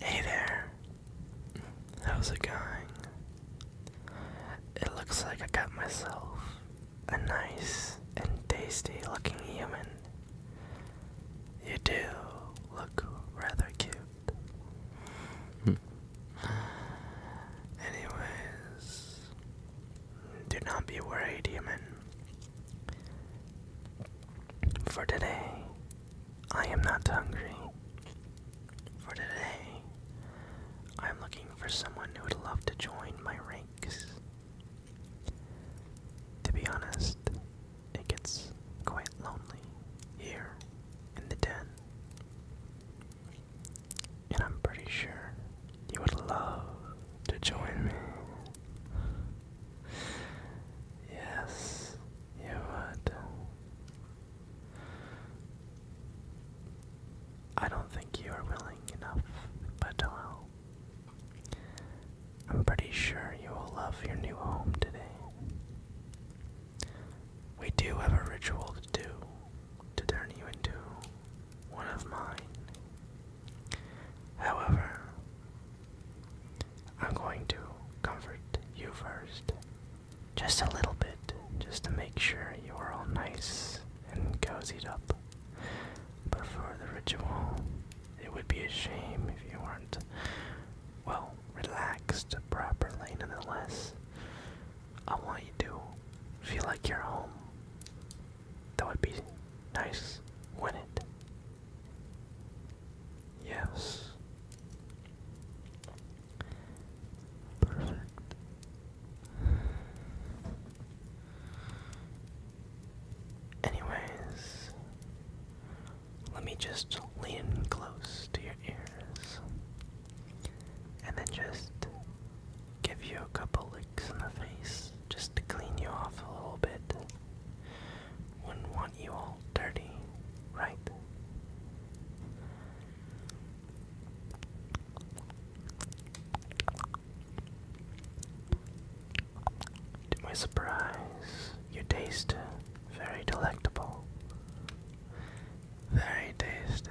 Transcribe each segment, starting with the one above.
Hey there, How's it going? It looks like I got myself a nice and tasty looking human. You do look rather cute. Hmm. Anyways, do not be worried, human. For today, I am not hungry. For today, I am looking for someone who would love to join my ranks. To be honest, it gets quite lonely here in the den. And I'm pretty sure you would love to join me. Yes, Ja, warte. I don't think you are willing enough, but I'll. I'm pretty sure you will love your new home today. We do have a ritual to do to turn you into one of mine. However, I'm going to comfort you first just a little bit, just to make sure you are all nice and cozied up. But for the ritual, it would be a shame if you weren't, well, relaxed properly nonetheless. I want you to feel like you're home. That would be nice, would it? Yes. Perfect. Anyways, let me just lean close to your ears and then just give you a couple licks in the face just to clean you off a little bit. Wouldn't want you all dirty, right? To my surprise, your taste very delectable. Very tasty.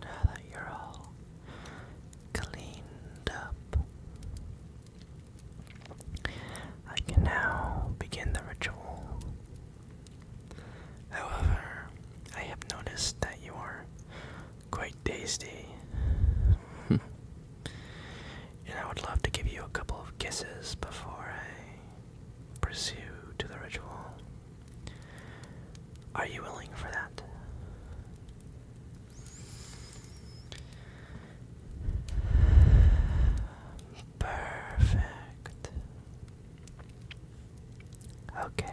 Now that you're all cleaned up, I can now begin the ritual. However, I have noticed that you are quite tasty. and I would love to give you a couple of kisses before I pursue to the ritual. Are you willing for that? Perfect. Okay.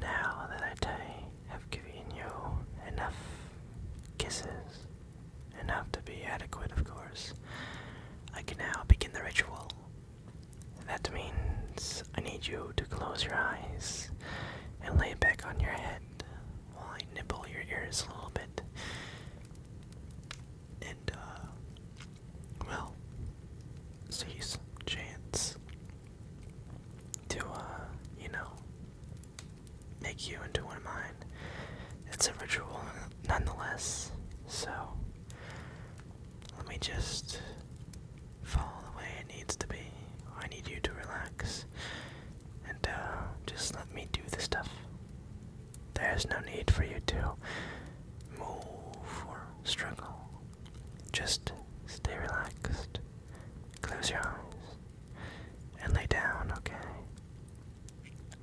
Now that I have given you enough kisses, enough to be adequate, of course, I can now begin the ritual. That means I need you to close your eyes and lay back on your head while I nibble your ears a little bit. And, uh, well, sees chance to, uh, you know, make you into one of mine. It's a ritual nonetheless, so let me just fall the way it needs to be. I need you to relax and uh, just let me do the stuff. There's no need for you to move or struggle just stay relaxed. Close your eyes and lay down, okay?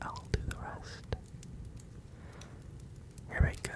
I'll do the rest. Here we go.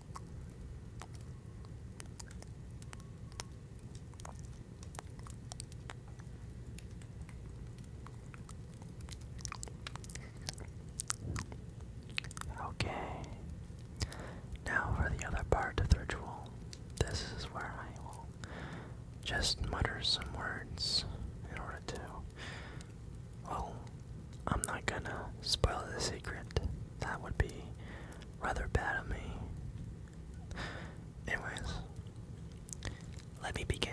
Okay. Now for the other part of the ritual. This is where I will just mutter some words in order to well, I'm not gonna spoil the secret. That would be rather bad of me. Anyways, let me begin.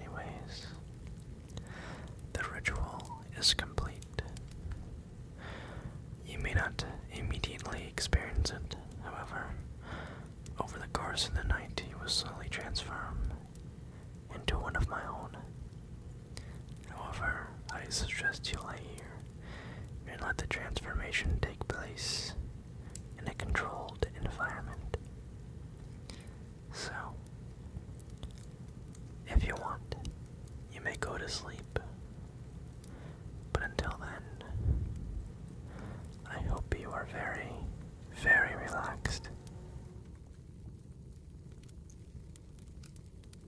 Anyways, the ritual is complete. You may not immediately experience it, however, over the course of the night, he was slowly transformed into one of my own. However, I suggest you lay here and let the transformation take place in a controlled environment. So, if you want, you may go to sleep. But until then, I hope you are very, very relaxed.